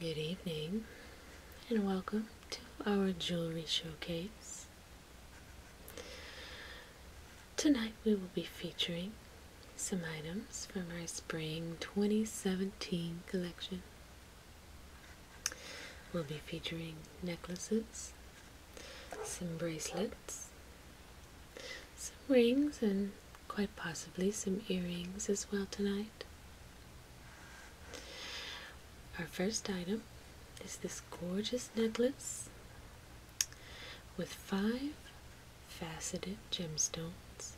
Good evening and welcome to our jewelry showcase. Tonight we will be featuring some items from our spring 2017 collection. We'll be featuring necklaces, some bracelets, some rings, and quite possibly some earrings as well tonight. Our first item is this gorgeous necklace with five faceted gemstones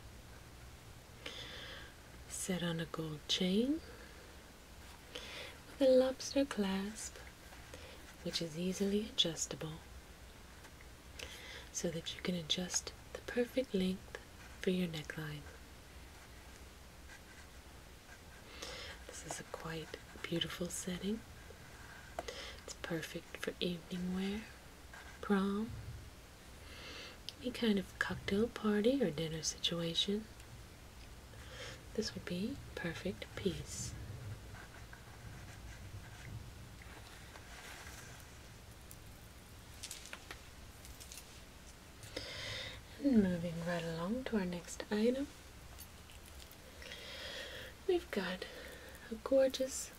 set on a gold chain with a lobster clasp which is easily adjustable so that you can adjust the perfect length for your neckline. This is a quite beautiful setting. It's perfect for evening wear, prom, any kind of cocktail party or dinner situation. This would be perfect piece. And moving right along to our next item, we've got a gorgeous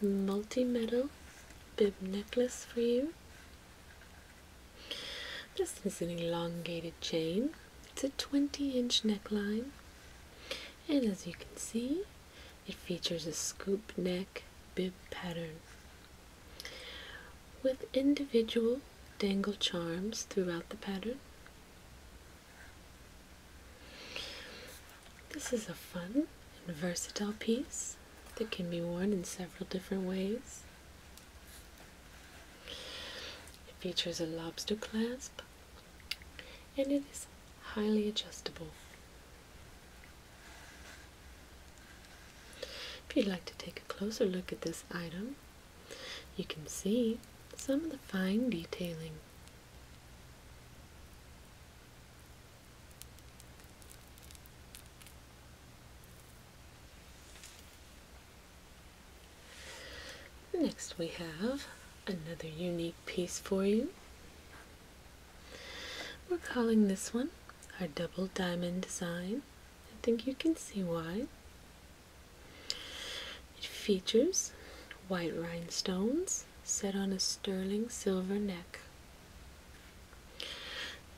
multi-metal bib necklace for you. This is an elongated chain. It's a 20 inch neckline. And as you can see, it features a scoop neck bib pattern with individual dangle charms throughout the pattern. This is a fun and versatile piece that can be worn in several different ways. It features a lobster clasp and it is highly adjustable. If you'd like to take a closer look at this item, you can see some of the fine detailing. Next, we have another unique piece for you. We're calling this one our double diamond design. I think you can see why. It features white rhinestones set on a sterling silver neck.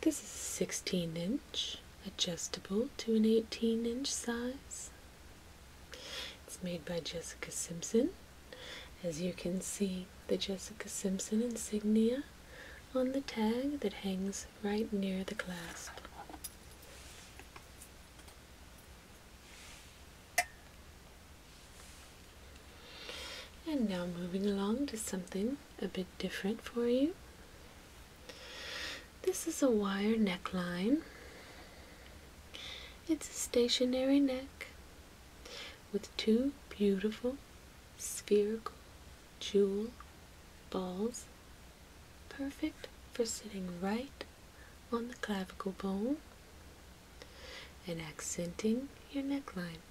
This is 16 inch, adjustable to an 18 inch size. It's made by Jessica Simpson as you can see, the Jessica Simpson insignia on the tag that hangs right near the clasp. And now moving along to something a bit different for you. This is a wire neckline. It's a stationary neck with two beautiful spherical jewel balls, perfect for sitting right on the clavicle bone and accenting your neckline.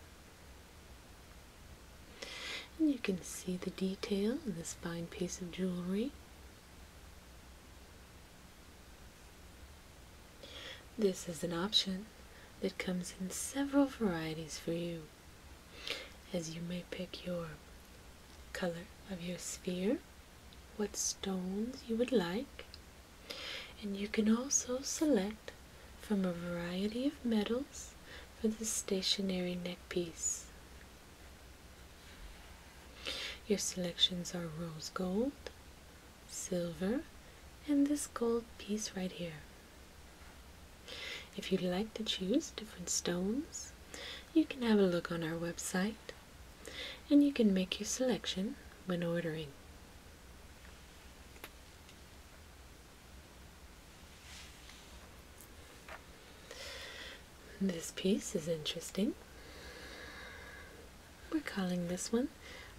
And you can see the detail in this fine piece of jewelry. This is an option that comes in several varieties for you, as you may pick your color of your sphere, what stones you would like, and you can also select from a variety of metals for the stationary neckpiece. Your selections are rose gold, silver, and this gold piece right here. If you'd like to choose different stones, you can have a look on our website and you can make your selection when ordering. This piece is interesting. We're calling this one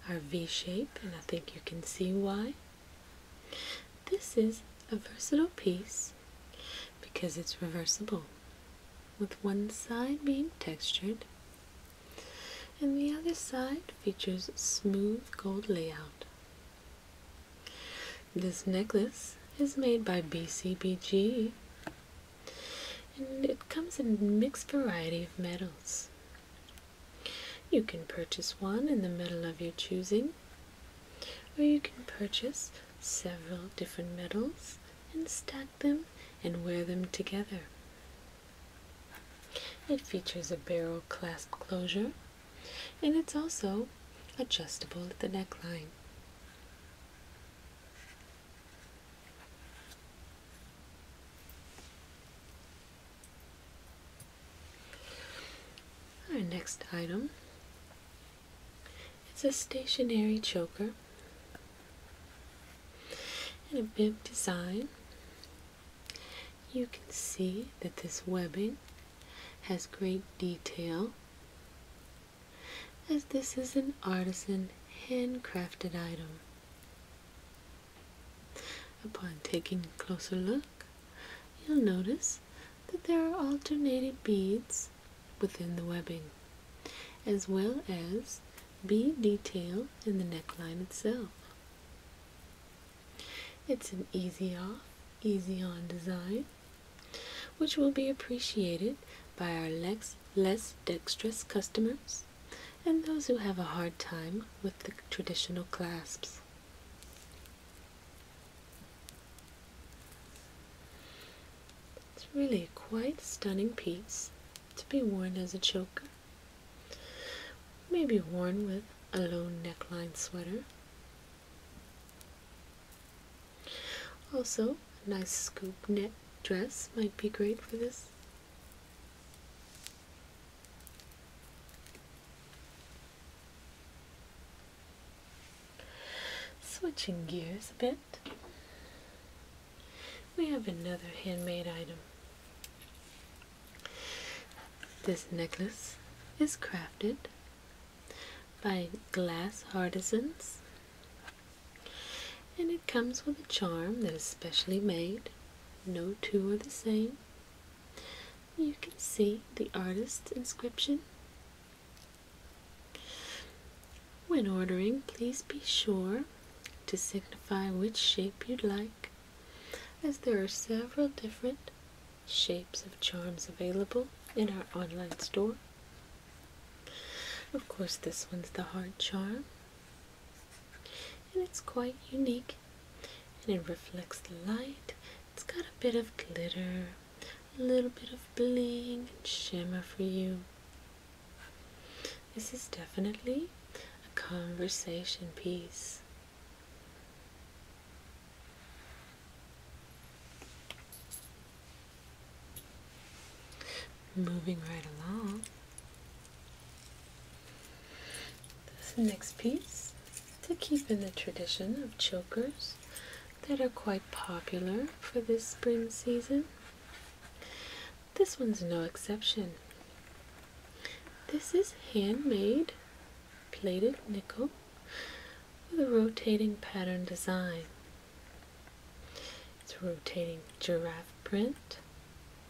our v shape, and I think you can see why. This is a versatile piece because it's reversible, with one side being textured and the other side features smooth gold layout. This necklace is made by BCBG and it comes in a mixed variety of metals you can purchase one in the metal of your choosing, or you can purchase several different medals and stack them and wear them together. It features a barrel clasp closure and it's also adjustable at the neckline. Our next item is a stationary choker and a bib design. You can see that this webbing has great detail as this is an artisan handcrafted item. Upon taking a closer look, you'll notice that there are alternating beads within the webbing, as well as bead detail in the neckline itself. It's an easy off, easy on design, which will be appreciated by our less dexterous customers and those who have a hard time with the traditional clasps. It's really a quite stunning piece to be worn as a choker. Maybe worn with a low neckline sweater. Also, a nice scoop neck dress might be great for this. Switching gears a bit, we have another handmade item. This necklace is crafted by glass artisans and it comes with a charm that is specially made. No two are the same. You can see the artist's inscription. When ordering, please be sure to signify which shape you'd like, as there are several different shapes of charms available in our online store. Of course, this one's the heart charm and it's quite unique and it reflects light. It's got a bit of glitter, a little bit of bling and shimmer for you. This is definitely a conversation piece. Moving right along, this next piece, to keep in the tradition of chokers that are quite popular for this spring season, this one's no exception. This is handmade plated nickel with a rotating pattern design. It's a rotating giraffe print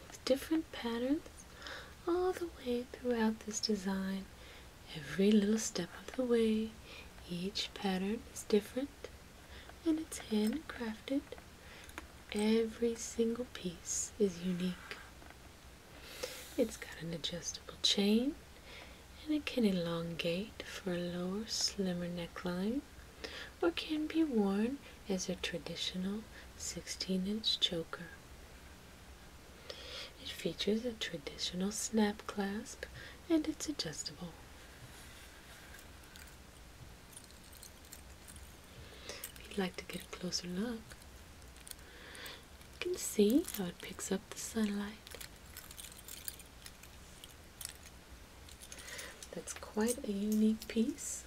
with different patterns all the way throughout this design. Every little step of the way, each pattern is different and it's handcrafted. Every single piece is unique. It's got an adjustable chain and it can elongate for a lower, slimmer neckline or can be worn as a traditional 16 inch choker. It features a traditional snap clasp and it's adjustable. If you'd like to get a closer look, you can see how it picks up the sunlight. That's quite a unique piece.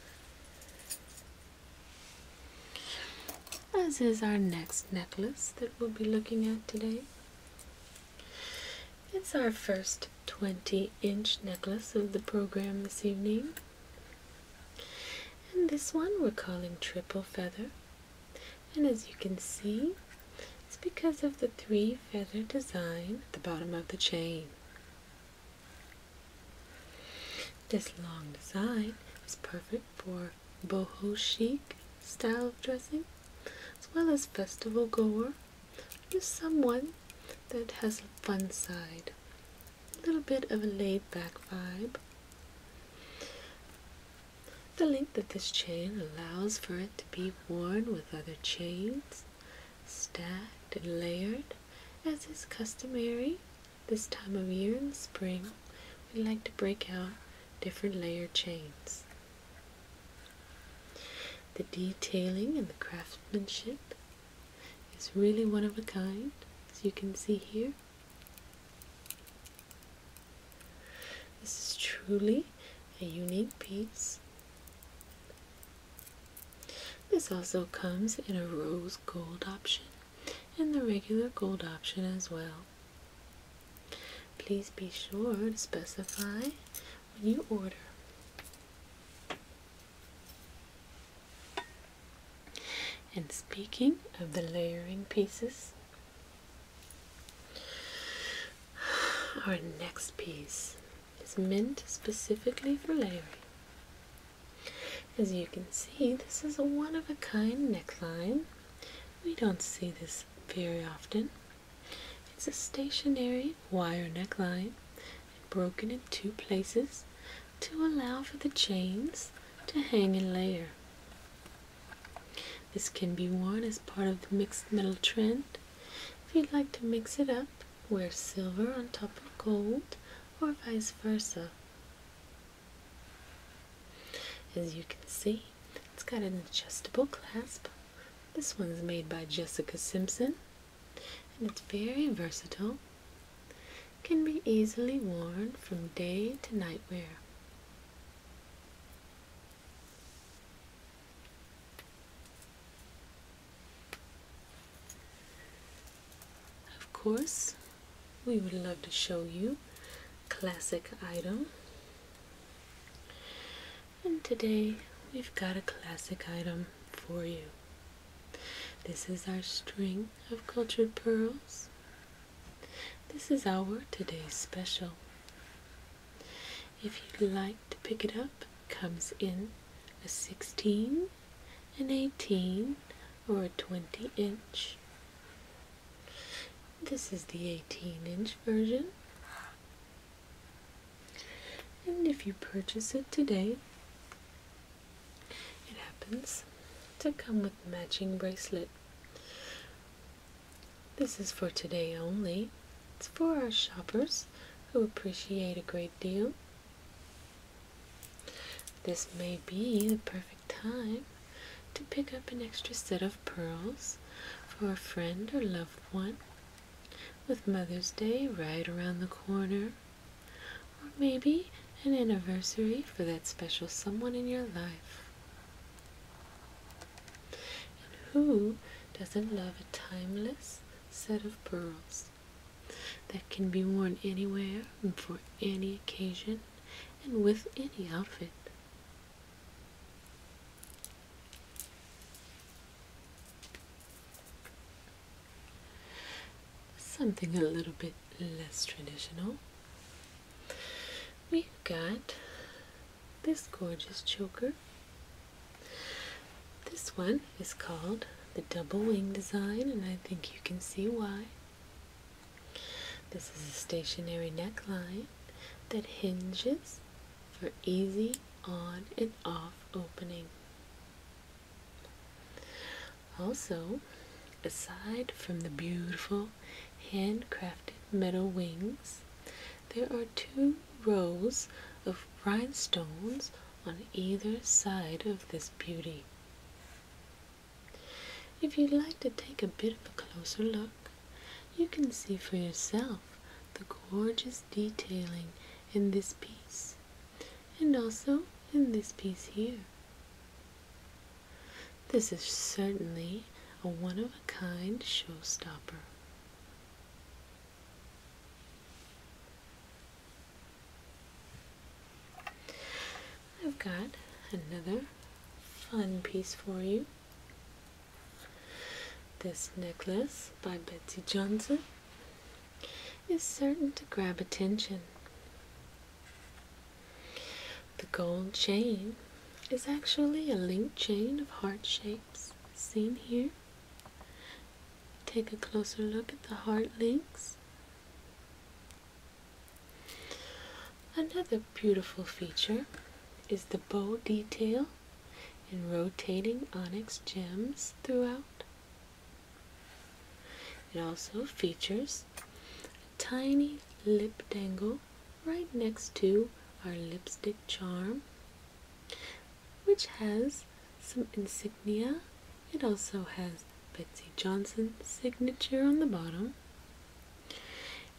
As is our next necklace that we'll be looking at today. It's our first 20 inch necklace of the program this evening. And this one we're calling Triple Feather. And as you can see, it's because of the three feather design at the bottom of the chain. This long design is perfect for boho chic style of dressing, as well as festival goer, just someone that has a fun side, a little bit of a laid back vibe. The length of this chain allows for it to be worn with other chains, stacked and layered as is customary this time of year in spring, we like to break out different layer chains. The detailing and the craftsmanship is really one of a kind, as you can see here. This is truly a unique piece. This also comes in a rose gold option and the regular gold option as well. Please be sure to specify when you order. And speaking of the layering pieces, our next piece is meant specifically for layering. As you can see, this is a one-of-a-kind neckline. We don't see this very often. It's a stationary wire neckline broken in two places to allow for the chains to hang in layer. This can be worn as part of the mixed metal trend. If you'd like to mix it up, wear silver on top of gold or vice versa. As you can see, it's got an adjustable clasp. This one's made by Jessica Simpson and it's very versatile. Can be easily worn from day to night wear. Of course, we would love to show you classic item. And today we've got a classic item for you. This is our string of cultured pearls. This is our today's special. If you'd like to pick it up, it comes in a 16, an 18, or a 20 inch. This is the 18 inch version. And if you purchase it today, it happens to come with matching bracelet. This is for today only. It's for our shoppers who appreciate a great deal. This may be the perfect time to pick up an extra set of pearls for a friend or loved one, with Mother's Day right around the corner, or maybe an anniversary for that special someone in your life. And who doesn't love a timeless set of pearls? that can be worn anywhere and for any occasion and with any outfit. Something a little bit less traditional. We've got this gorgeous choker. This one is called the double wing design, and I think you can see why. This is a stationary neckline that hinges for easy on and off opening. Also, aside from the beautiful handcrafted metal wings, there are two rows of rhinestones on either side of this beauty. If you'd like to take a bit of a closer look, you can see for yourself the gorgeous detailing in this piece and also in this piece here. This is certainly a one of a kind showstopper. I've got another fun piece for you. This necklace by Betsy Johnson is certain to grab attention. The gold chain is actually a link chain of heart shapes seen here. Take a closer look at the heart links. Another beautiful feature is the bow detail and rotating onyx gems throughout. It also features a tiny lip dangle right next to our lipstick charm, which has some insignia it also has Betsy Johnson's signature on the bottom,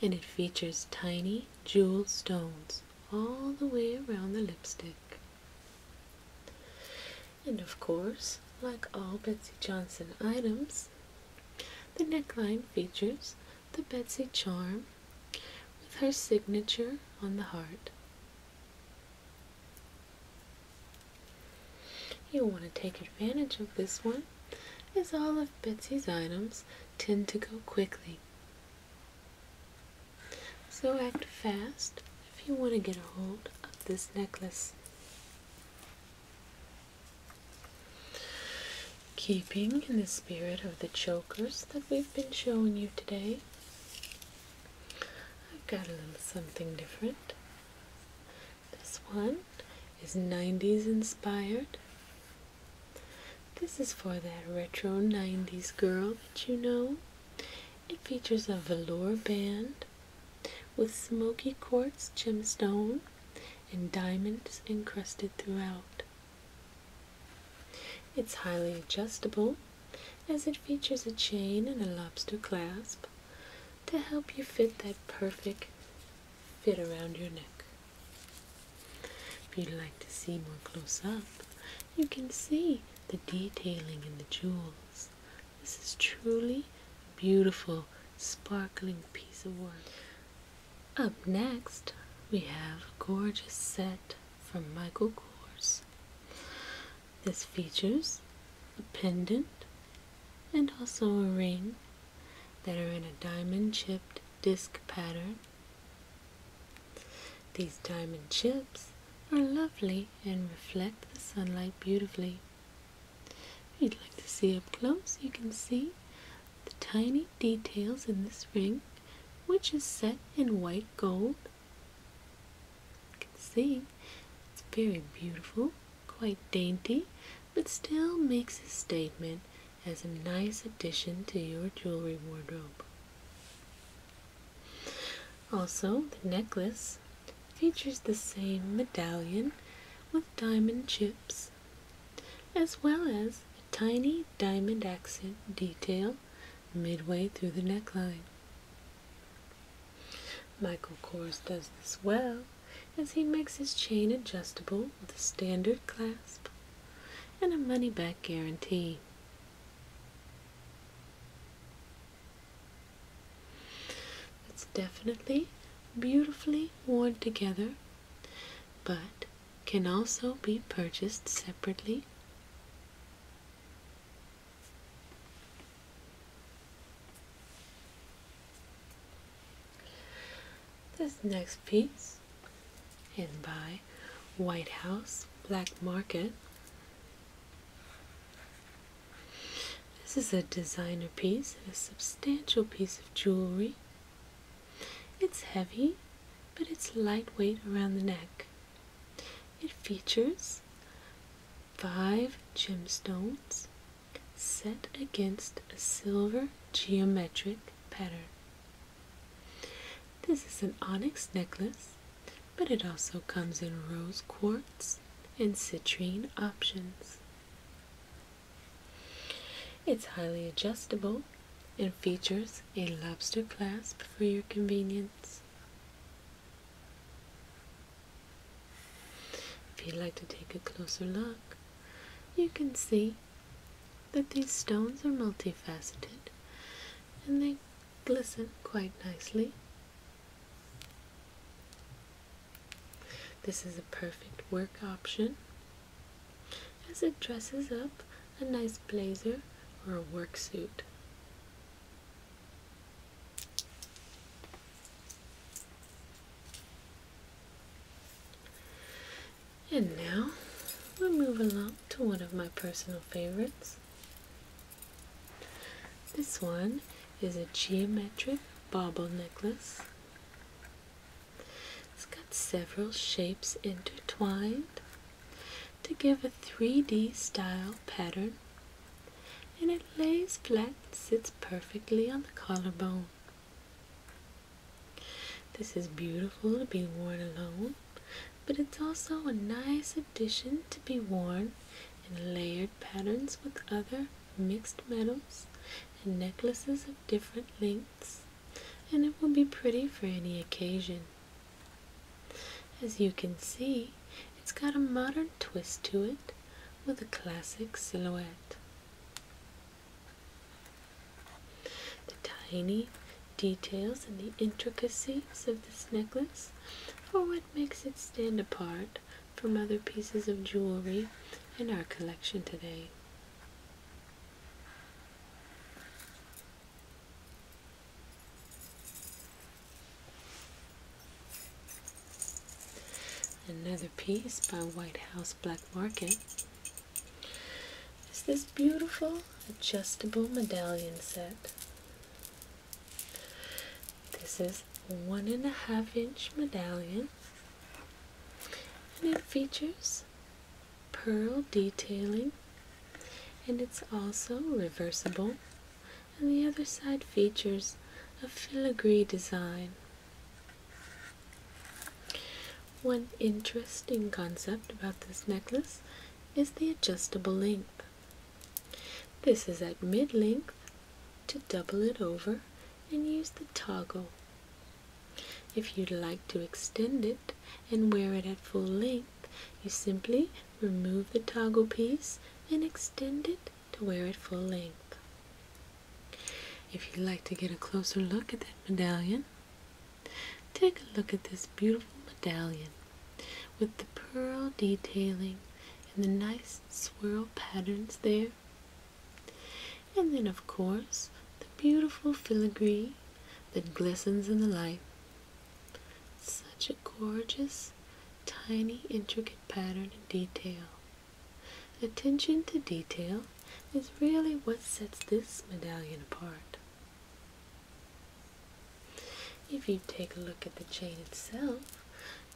and it features tiny jewel stones all the way around the lipstick. And of course, like all Betsy Johnson items, the neckline features the Betsy charm with her signature on the heart. You'll want to take advantage of this one, as all of Betsy's items tend to go quickly. So act fast if you want to get a hold of this necklace. Keeping in the spirit of the chokers that we've been showing you today, I've got a little something different. This one is 90s inspired. This is for that retro 90s girl that you know. It features a velour band with smoky quartz gemstone and diamonds encrusted throughout. It's highly adjustable as it features a chain and a lobster clasp to help you fit that perfect fit around your neck. If you'd like to see more close up, you can see the detailing in the jewels. This is truly a beautiful, sparkling piece of work. Up next, we have a gorgeous set from Michael Kors. This features a pendant and also a ring that are in a diamond chipped disc pattern. These diamond chips are lovely and reflect the sunlight beautifully. If you'd like to see up close, you can see the tiny details in this ring, which is set in white gold. You can see it's very beautiful, quite dainty, but still makes a statement as a nice addition to your jewelry wardrobe. Also, the necklace features the same medallion with diamond chips, as well as a tiny diamond accent detail midway through the neckline. Michael Kors does this well as he makes his chain adjustable with a standard clasp and a money back guarantee. It's definitely beautifully worn together, but can also be purchased separately this next piece is by White House Black Market. This is a designer piece a substantial piece of jewelry. It's heavy, but it's lightweight around the neck. It features five gemstones set against a silver geometric pattern. This is an onyx necklace, but it also comes in rose quartz and citrine options. It's highly adjustable and features a lobster clasp for your convenience. If you'd like to take a closer look, you can see that these stones are multifaceted and they glisten quite nicely. This is a perfect work option as it dresses up a nice blazer or a work suit. And now we're moving along to one of my personal favorites. This one is a geometric bauble necklace. It's got several shapes intertwined to give a 3D style pattern and it lays flat and sits perfectly on the collarbone. This is beautiful to be worn alone, but it's also a nice addition to be worn in layered patterns with other mixed metals and necklaces of different lengths, and it will be pretty for any occasion. As you can see, it's got a modern twist to it with a classic silhouette. The tiny details and the intricacies of this necklace are what makes it stand apart from other pieces of jewelry in our collection today. Another piece by White House Black Market is this beautiful adjustable medallion set. This is one and a half inch medallion and it features pearl detailing and it's also reversible and the other side features a filigree design. One interesting concept about this necklace is the adjustable length. This is at mid length to double it over and use the toggle. If you'd like to extend it and wear it at full length, you simply remove the toggle piece and extend it to wear it full length. If you'd like to get a closer look at that medallion, take a look at this beautiful medallion with the pearl detailing and the nice swirl patterns there. And then, of course, the beautiful filigree that glistens in the light. Such a gorgeous, tiny, intricate pattern and detail. Attention to detail is really what sets this medallion apart. If you take a look at the chain itself,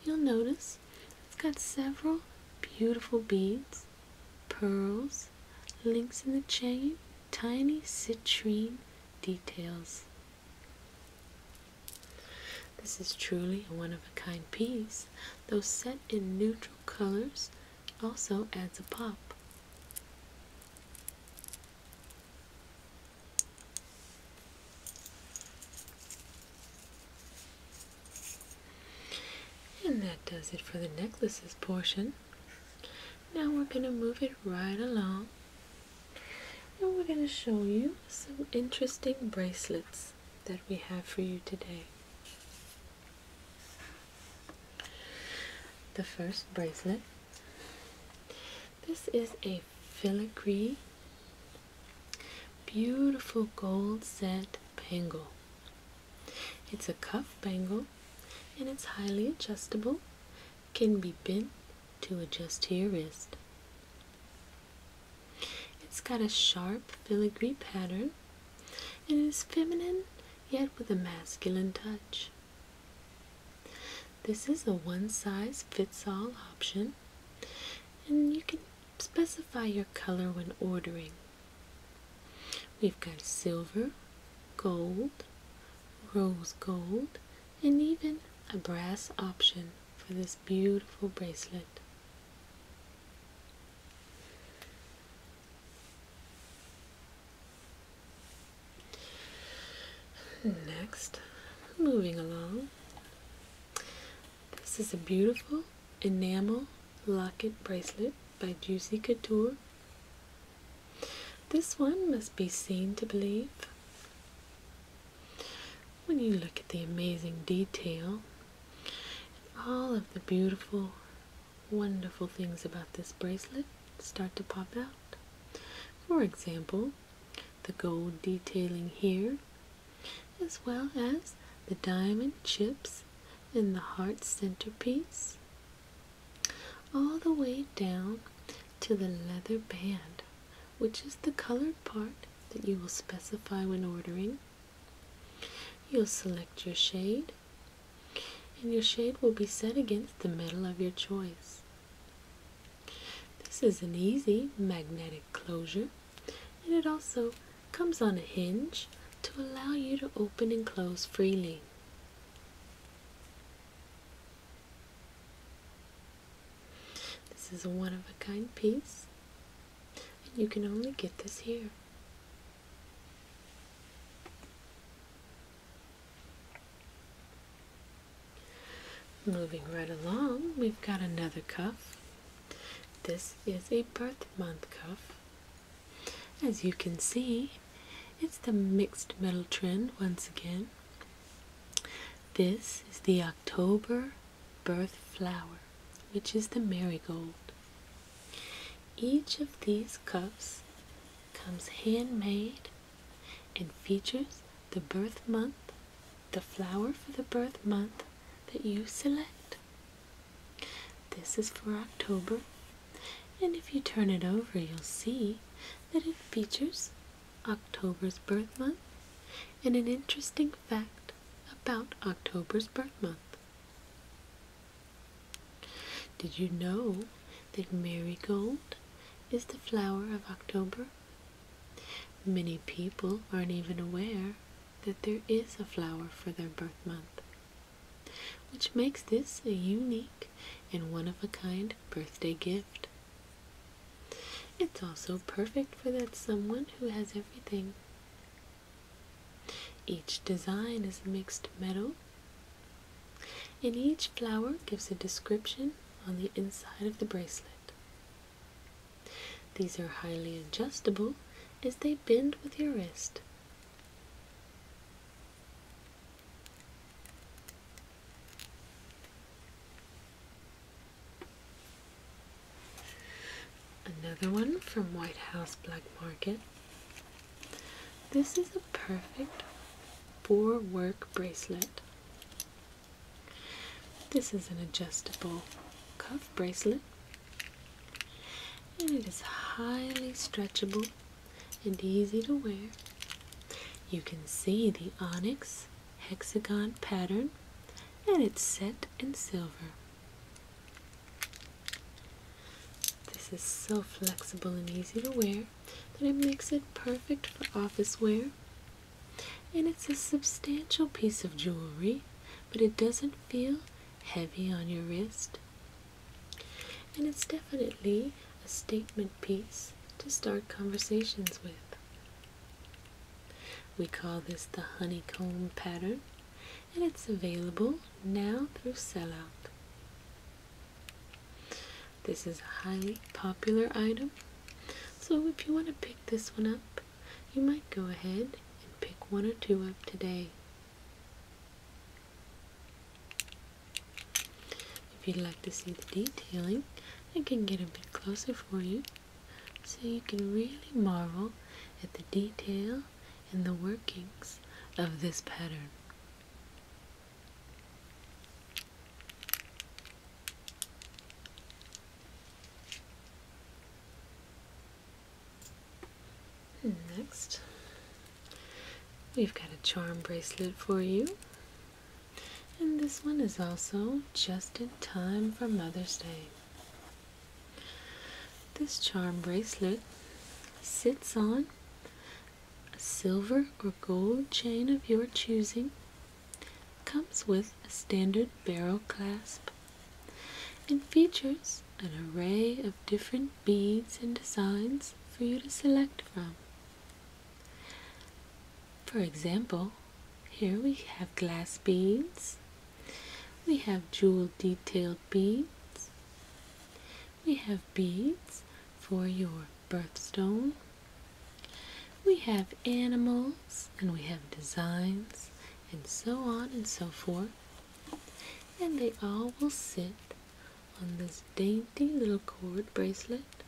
you'll notice it's got several beautiful beads, pearls, links in the chain, tiny citrine details. This is truly a one of a kind piece, though set in neutral colors, also adds a pop. And that does it for the necklaces portion. Now we're going to move it right along and we're going to show you some interesting bracelets that we have for you today. The first bracelet. This is a filigree, beautiful gold set bangle. It's a cuff bangle and it's highly adjustable, can be bent to adjust to your wrist. It's got a sharp filigree pattern and it is feminine yet with a masculine touch. This is a one size fits all option and you can specify your color when ordering. We've got silver, gold, rose gold, and even a brass option for this beautiful bracelet. Next, moving along, this is a beautiful enamel locket bracelet by Juicy Couture. This one must be seen to believe. When you look at the amazing detail, all of the beautiful, wonderful things about this bracelet start to pop out. For example, the gold detailing here, as well as the diamond chips in the heart centerpiece, all the way down to the leather band which is the colored part that you will specify when ordering. You'll select your shade, and your shade will be set against the metal of your choice. This is an easy magnetic closure, and it also comes on a hinge to allow you to open and close freely. This is a one of a kind piece, and you can only get this here. Moving right along, we've got another cuff. This is a birth month cuff. As you can see, it's the mixed metal trend once again. This is the October birth flower, which is the marigold. Each of these cups comes handmade and features the birth month, the flower for the birth month that you select. This is for October, and if you turn it over, you'll see that it features October's birth month and an interesting fact about October's birth month. Did you know that marigold is the flower of October? Many people aren't even aware that there is a flower for their birth month, which makes this a unique and one of a kind birthday gift it's also perfect for that someone who has everything. Each design is mixed metal, and each flower gives a description on the inside of the bracelet. These are highly adjustable as they bend with your wrist. Another one from White House Black Market. This is a perfect for work bracelet. This is an adjustable cuff bracelet and it is highly stretchable and easy to wear. You can see the onyx hexagon pattern and it's set in silver. This is so flexible and easy to wear that it makes it perfect for office wear. And it's a substantial piece of jewelry, but it doesn't feel heavy on your wrist. And it's definitely a statement piece to start conversations with. We call this the honeycomb pattern, and it's available now through sellout. This is a highly popular item, so if you want to pick this one up, you might go ahead and pick one or two up today. If you'd like to see the detailing, I can get a bit closer for you so you can really marvel at the detail and the workings of this pattern. next, we've got a charm bracelet for you. And this one is also just in time for Mother's Day. This charm bracelet sits on a silver or gold chain of your choosing, comes with a standard barrel clasp, and features an array of different beads and designs for you to select from. For example, here we have glass beads, we have jewel detailed beads, we have beads for your birthstone, we have animals, and we have designs, and so on and so forth. And they all will sit on this dainty little cord bracelet,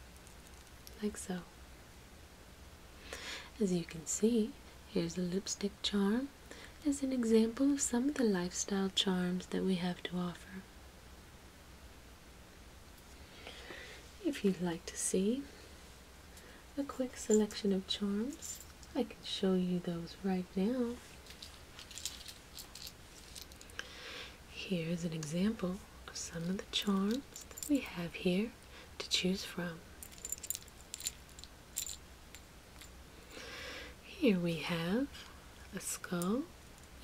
like so. As you can see, here's a lipstick charm as an example of some of the lifestyle charms that we have to offer. If you'd like to see a quick selection of charms, I can show you those right now. Here's an example of some of the charms that we have here to choose from. Here we have a skull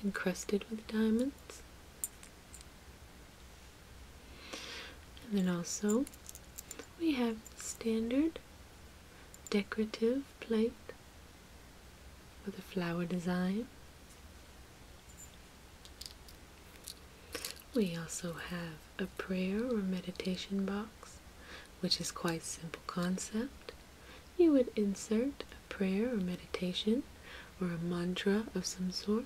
encrusted with diamonds, and then also we have standard decorative plate with a flower design. We also have a prayer or meditation box, which is quite simple concept. You would insert a prayer or meditation or a mantra of some sort,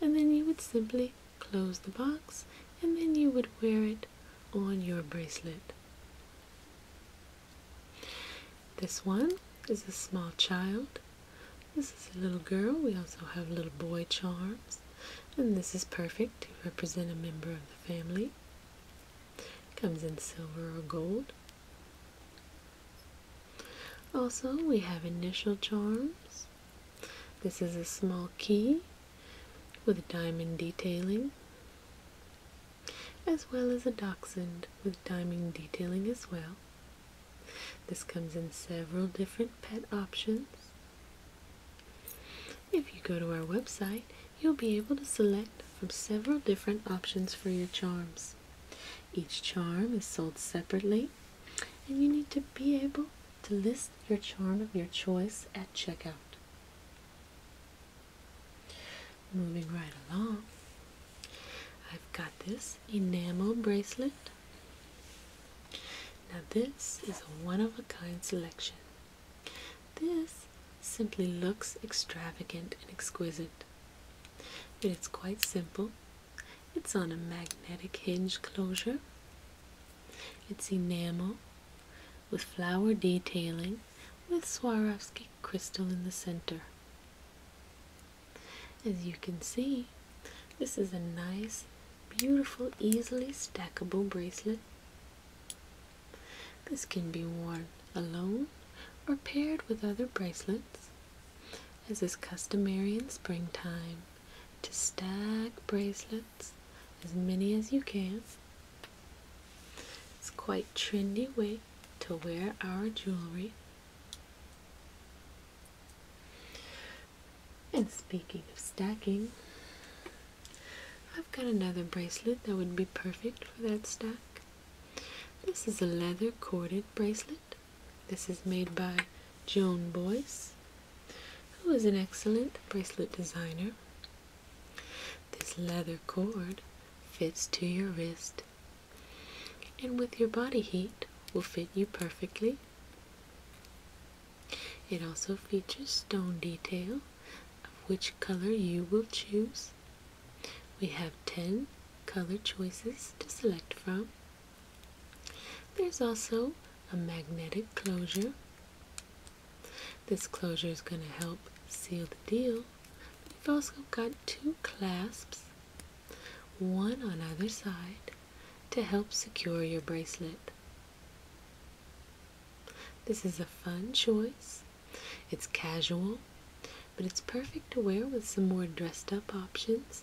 and then you would simply close the box and then you would wear it on your bracelet. This one is a small child this is a little girl. We also have little boy charms. And this is perfect to represent a member of the family. Comes in silver or gold. Also, we have initial charms. This is a small key with diamond detailing, as well as a dachshund with diamond detailing as well. This comes in several different pet options if you go to our website, you'll be able to select from several different options for your charms. Each charm is sold separately, and you need to be able to list your charm of your choice at checkout. Moving right along, I've got this enamel bracelet now this is a one-of-a-kind selection. This simply looks extravagant and exquisite. But it's quite simple. It's on a magnetic hinge closure. It's enamel with flower detailing with Swarovski crystal in the center. As you can see, this is a nice, beautiful, easily stackable bracelet. This can be worn alone or paired with other bracelets, as is customary in springtime, to stack bracelets as many as you can. It's quite trendy way to wear our jewelry. And speaking of stacking, I've got another bracelet that would be perfect for that stack. This is a leather corded bracelet. This is made by Joan Boyce, who is an excellent bracelet designer. This leather cord fits to your wrist and with your body heat will fit you perfectly. It also features stone detail of which color you will choose. We have 10 color choices to select from. There's also a magnetic closure. This closure is going to help seal the deal. We've also got two clasps, one on either side to help secure your bracelet. This is a fun choice. It's casual, but it's perfect to wear with some more dressed up options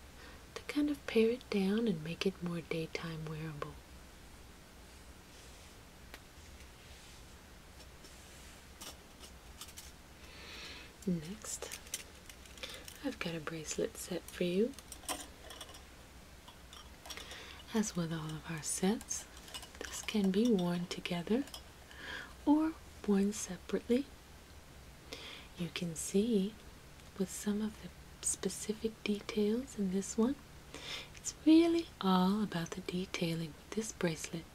to kind of pare it down and make it more daytime wearable. Next, I've got a bracelet set for you. As with all of our sets, this can be worn together or worn separately. You can see with some of the specific details in this one, it's really all about the detailing with this bracelet.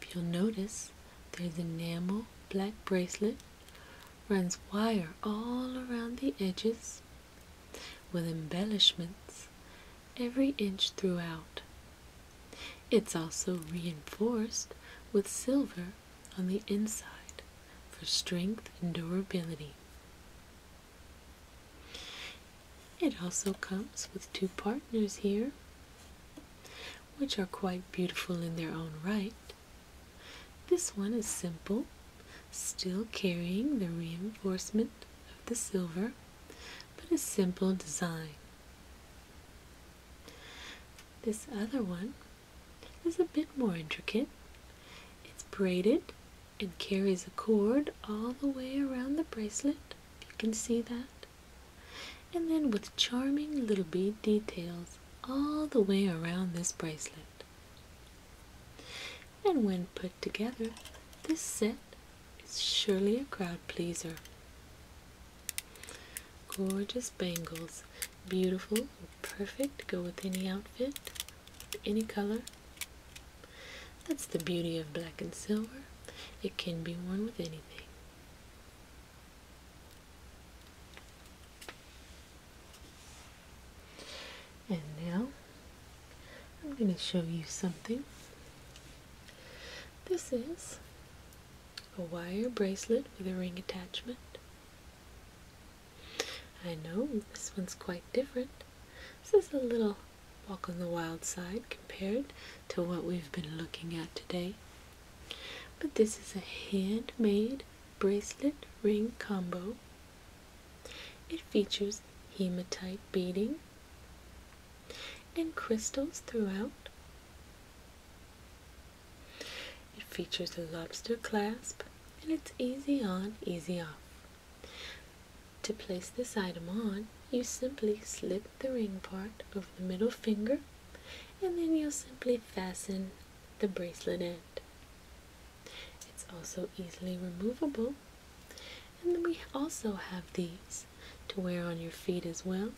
If you'll notice, there's enamel black bracelet runs wire all around the edges with embellishments every inch throughout. It's also reinforced with silver on the inside for strength and durability. It also comes with two partners here, which are quite beautiful in their own right. This one is simple, still carrying the reinforcement of the silver, but a simple design. This other one is a bit more intricate. It's braided and carries a cord all the way around the bracelet, if you can see that. And then with charming little bead details all the way around this bracelet. And when put together, this set is surely a crowd pleaser. Gorgeous bangles, beautiful, perfect, go with any outfit, any color. That's the beauty of black and silver. It can be worn with anything. And now I'm going to show you something. This is a wire bracelet with a ring attachment. I know this one's quite different. This is a little walk on the wild side compared to what we've been looking at today. But this is a handmade bracelet ring combo. It features hematite beading and crystals throughout. It features a lobster clasp and it's easy on, easy off. To place this item on, you simply slip the ring part over the middle finger and then you'll simply fasten the bracelet end. It's also easily removable. And then we also have these to wear on your feet as well.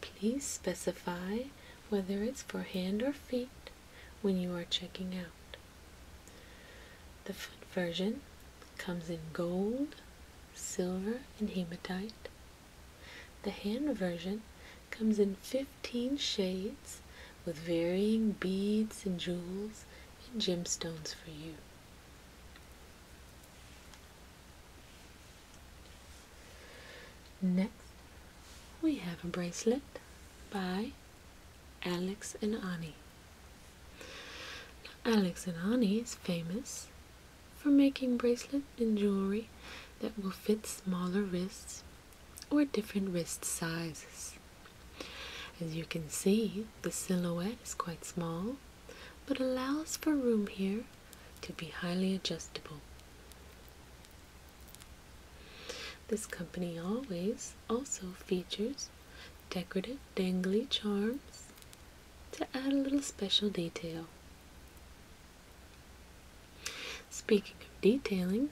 Please specify whether it's for hand or feet when you are checking out. The foot version comes in gold, silver, and hematite. The hand version comes in 15 shades with varying beads and jewels and gemstones for you. Next, we have a bracelet by Alex and Ani. Alex and Ani is famous for making bracelets and jewelry that will fit smaller wrists or different wrist sizes. As you can see, the silhouette is quite small but allows for room here to be highly adjustable. This company always also features decorative dangly charms to add a little special detail. Speaking of detailing,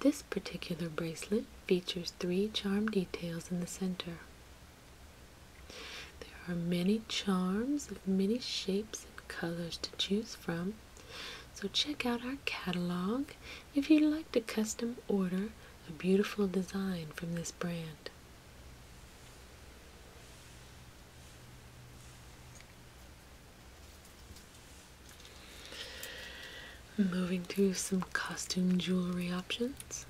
this particular bracelet features three charm details in the center. There are many charms of many shapes and colors to choose from, so check out our catalog if you'd like to custom order a beautiful design from this brand. Moving to some costume jewelry options.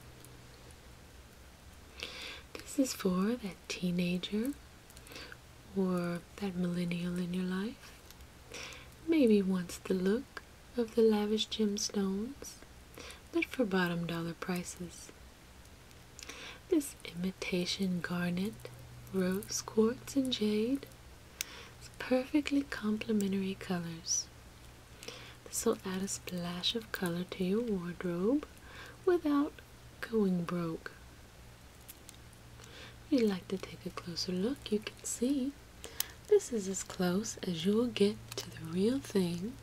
This is for that teenager or that millennial in your life. Maybe wants the look of the lavish gemstones, but for bottom dollar prices. This imitation garnet, rose quartz, and jade it's perfectly complementary colors. This will add a splash of color to your wardrobe without going broke. If you'd like to take a closer look, you can see this is as close as you will get to the real thing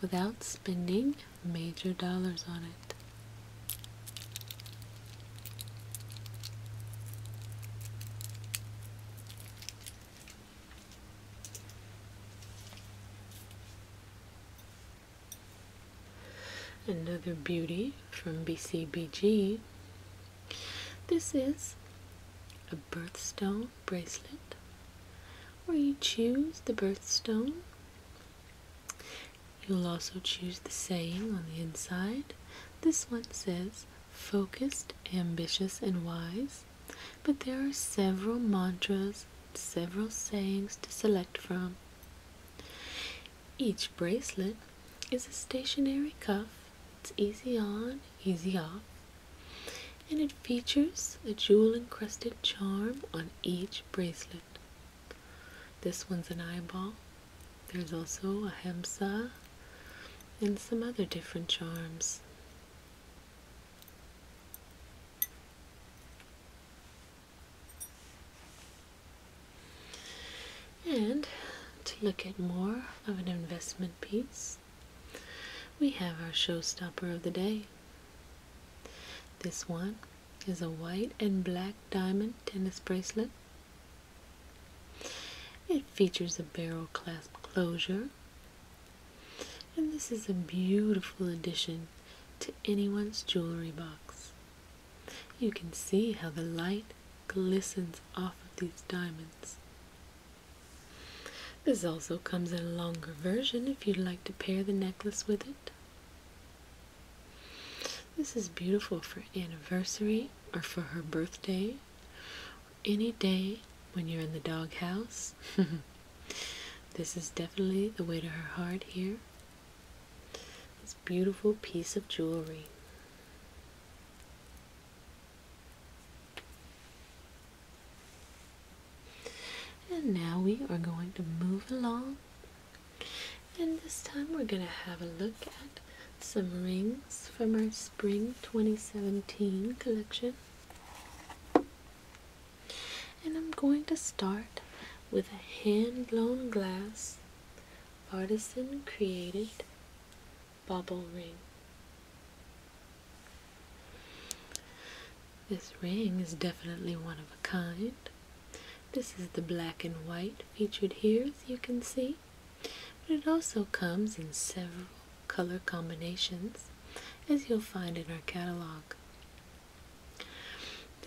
without spending major dollars on it. Another beauty from BCBG. This is a birthstone bracelet where you choose the birthstone You'll also choose the saying on the inside. This one says, focused, ambitious, and wise. But there are several mantras, several sayings to select from. Each bracelet is a stationary cuff. It's easy on, easy off. And it features a jewel encrusted charm on each bracelet. This one's an eyeball. There's also a hemsa and some other different charms. And to look at more of an investment piece, we have our showstopper of the day. This one is a white and black diamond tennis bracelet it features a barrel clasp closure, and this is a beautiful addition to anyone's jewelry box. You can see how the light glistens off of these diamonds. This also comes in a longer version if you'd like to pair the necklace with it. This is beautiful for anniversary or for her birthday, or any day when you're in the doghouse. this is definitely the way to her heart here. This beautiful piece of jewelry. And now we are going to move along and this time we're going to have a look at some rings from our spring 2017 collection. And I'm going to start with a hand blown glass artisan created bubble ring. This ring is definitely one of a kind. This is the black and white featured here, as you can see, but it also comes in several color combinations, as you'll find in our catalog.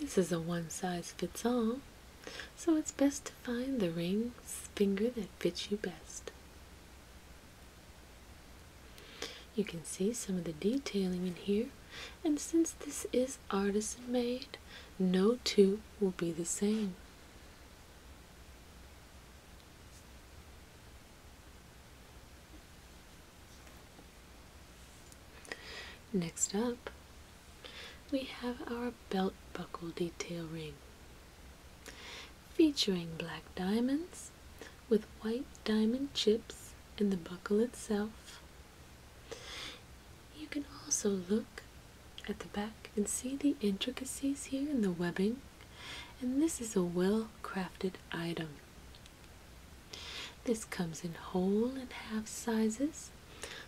This is a one size fits all, so it's best to find the ring finger that fits you best. You can see some of the detailing in here, and since this is is artisan made, no two will be the same. Next up, we have our belt buckle detail ring featuring black diamonds with white diamond chips in the buckle itself you can also look at the back and see the intricacies here in the webbing, and this is a well crafted item. This comes in whole and half sizes,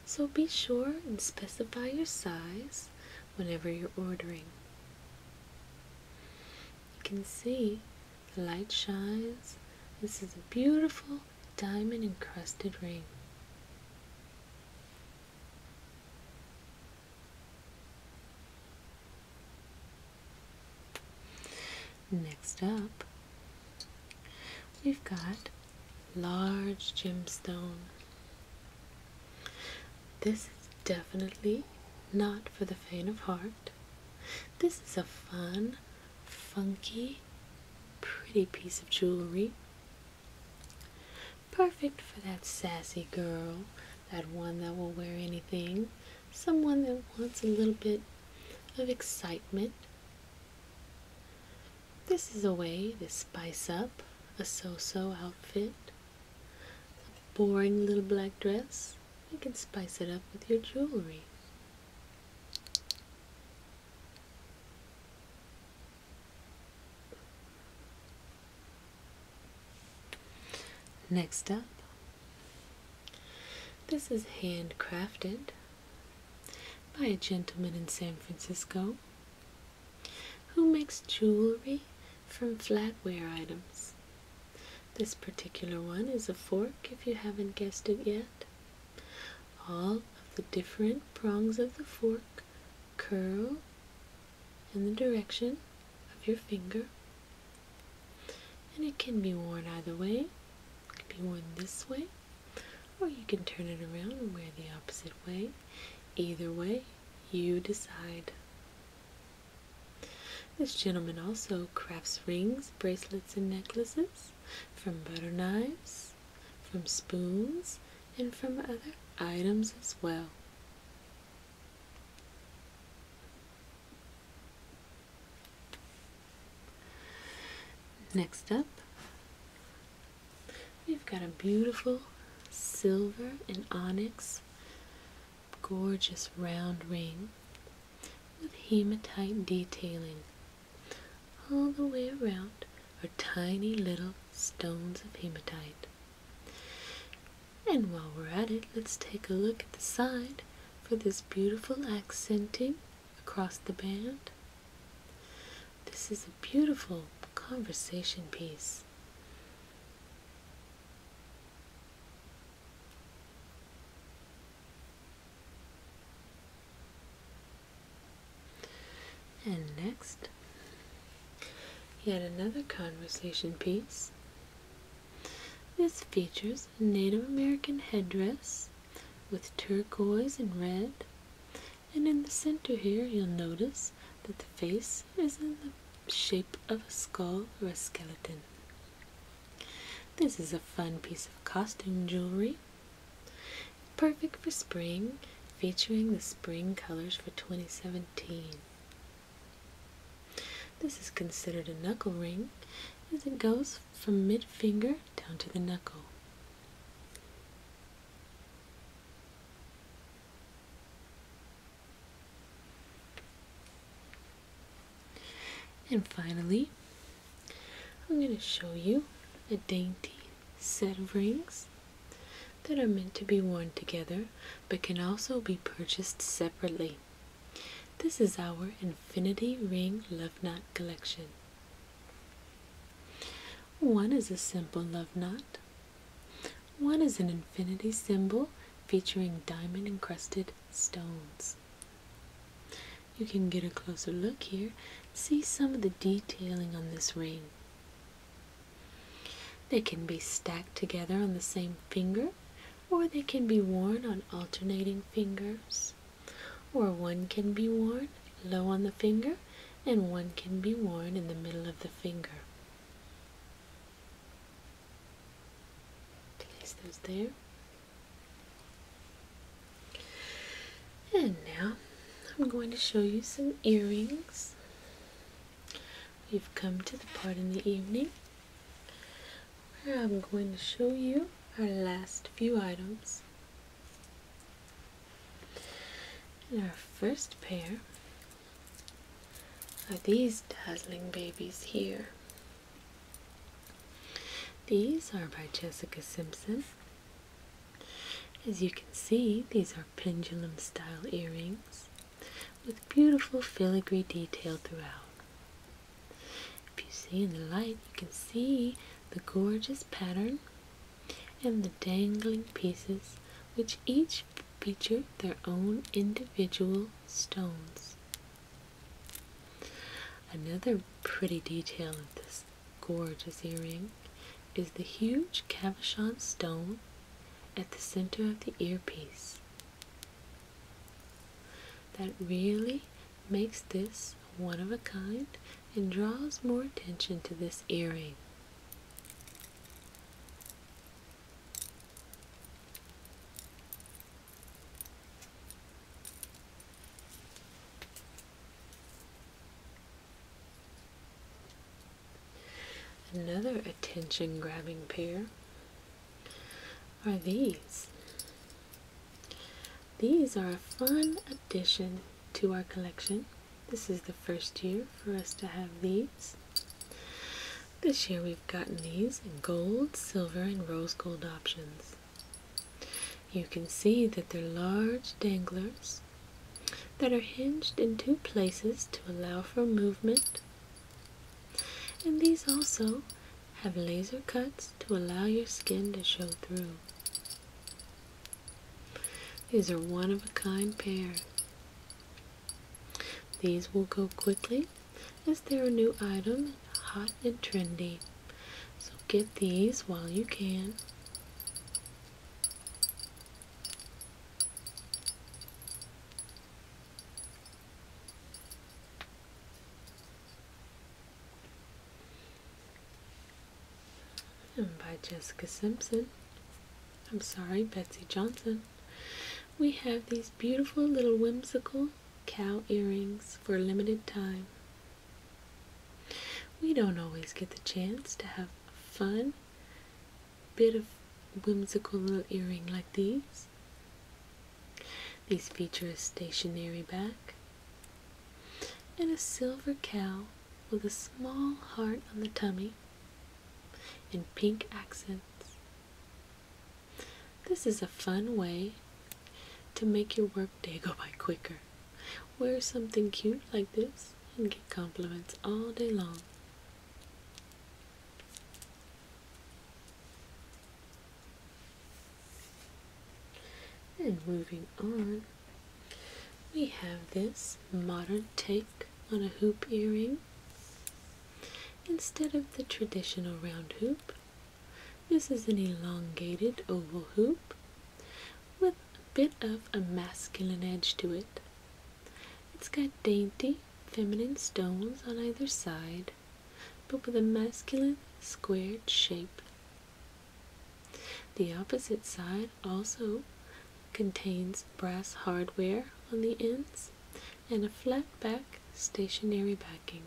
so be sure and specify your size whenever you're ordering. You can see the light shines. This is a beautiful diamond encrusted ring. Next up, we've got large gemstone. This is definitely not for the faint of heart. This is a fun, funky, pretty piece of jewelry Perfect for that sassy girl, that one that will wear anything, someone that wants a little bit of excitement. This is a way to spice up a so so outfit. A boring little black dress, you can spice it up with your jewelry. Next up, this is handcrafted by a gentleman in San Francisco who makes jewelry from flatware items. This particular one is a fork, if you haven't guessed it yet. All of the different prongs of the fork curl in the direction of your finger. And it can be worn either way. It can be worn this way, or you can turn it around and wear the opposite way. Either way, you decide. This gentleman also crafts rings, bracelets, and necklaces from butter knives from spoons, and from other items as well. Next up, we've got a beautiful silver and onyx, gorgeous round ring with hematite detailing all the way around are tiny little stones of hematite. And while we're at it, let's take a look at the side for this beautiful accenting across the band. This is a beautiful conversation piece. And next, yet another conversation piece. This features a Native American headdress with turquoise and red. And in the center here, you'll notice that the face is in the shape of a skull or a skeleton. This is a fun piece of costume jewelry Perfect for spring, featuring the spring colors for 2017. This is considered a knuckle ring as it goes from mid finger down to the knuckle. And finally, I'm going to show you a dainty set of rings that are meant to be worn together but can also be purchased separately. This is our Infinity Ring Love Knot collection. One is a simple love knot. One is an infinity symbol featuring diamond encrusted stones. You can get a closer look here See some of the detailing on this ring. They can be stacked together on the same finger, or they can be worn on alternating fingers, or one can be worn low on the finger and one can be worn in the middle of the finger. Place those there. And now I'm going to show you some earrings. We've come to the part in the evening where I'm going to show you our last few items. And our first pair are these dazzling babies here. These are by Jessica Simpson as you can see, these are pendulum style earrings with beautiful filigree detail throughout. If you see in the light, you can see the gorgeous pattern and the dangling pieces, which each feature their own individual stones. Another pretty detail of this gorgeous earring is the huge cabochon stone at the center of the earpiece. That really makes this one of a kind and draws more attention to this earring. Another attention grabbing pair are these. These are a fun addition to our collection. This is the first year for us to have these. This year we've gotten these in gold, silver, and rose gold options. You can see that they're large danglers that are hinged in two places to allow for movement. And these also have laser cuts to allow your skin to show through. These are one of a kind pairs. These will go quickly as they're a new item, hot and trendy. So get these while you can by Jessica Simpson, I'm sorry, Betsy Johnson, we have these beautiful little whimsical cow earrings for a limited time. We don't always get the chance to have a fun bit of whimsical little earring like these. These feature a stationary back and a silver cow with a small heart on the tummy in pink accents. This is a fun way to make your work they go by quicker. Wear something cute like this and get compliments all day long. And moving on, we have this modern take on a hoop earring. Instead of the traditional round hoop, this is an elongated oval hoop with a bit of a masculine edge to it. It's got dainty, feminine stones on either side, but with a masculine, squared shape. The opposite side also contains brass hardware on the ends and a flat back stationary backing.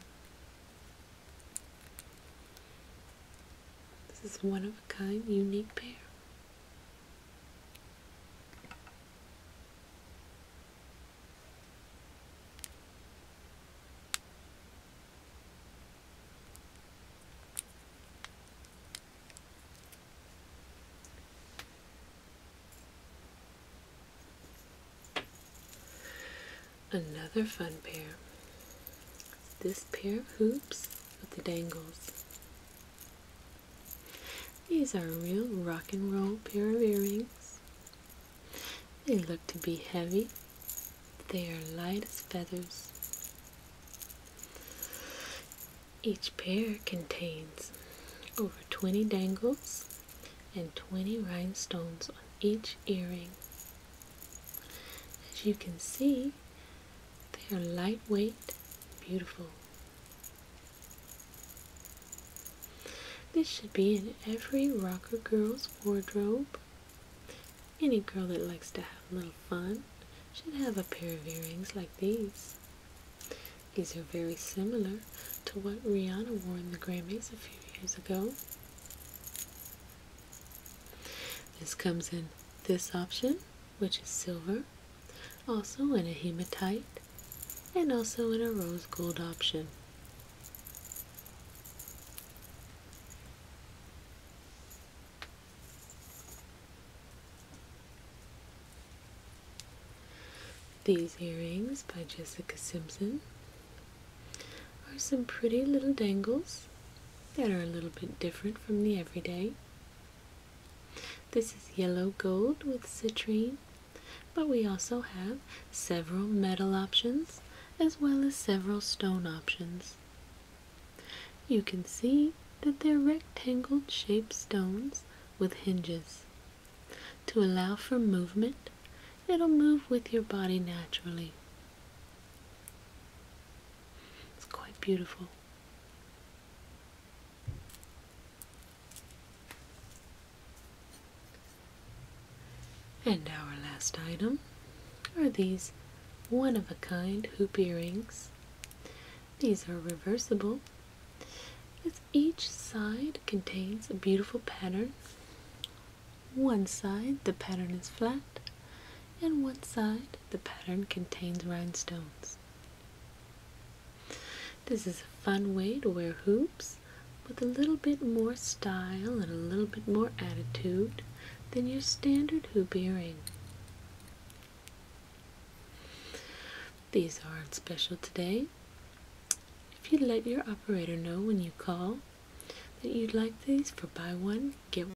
This is one of a kind, unique pair. Another fun pair. This pair of hoops with the dangles. These are real rock and roll pair of earrings. They look to be heavy. but They are light as feathers. Each pair contains over 20 dangles and 20 rhinestones on each earring. As you can see, they are lightweight, beautiful. This should be in every rocker girl's wardrobe. Any girl that likes to have a little fun should have a pair of earrings like these. These are very similar to what Rihanna wore in the Grammys a few years ago. This comes in this option, which is silver, also in a hematite, and also in a rose gold option. These earrings by Jessica Simpson are some pretty little dangles that are a little bit different from the everyday. This is yellow gold with citrine, but we also have several metal options as well as several stone options. You can see that they're rectangle shaped stones with hinges. To allow for movement, it'll move with your body naturally. It's quite beautiful. And our last item are these one of a kind hoop earrings. These are reversible as each side contains a beautiful pattern. One side the pattern is flat and one side the pattern contains rhinestones. This is a fun way to wear hoops with a little bit more style and a little bit more attitude than your standard hoop earring. These are not special today. If you let your operator know when you call that you'd like these for buy one, get one.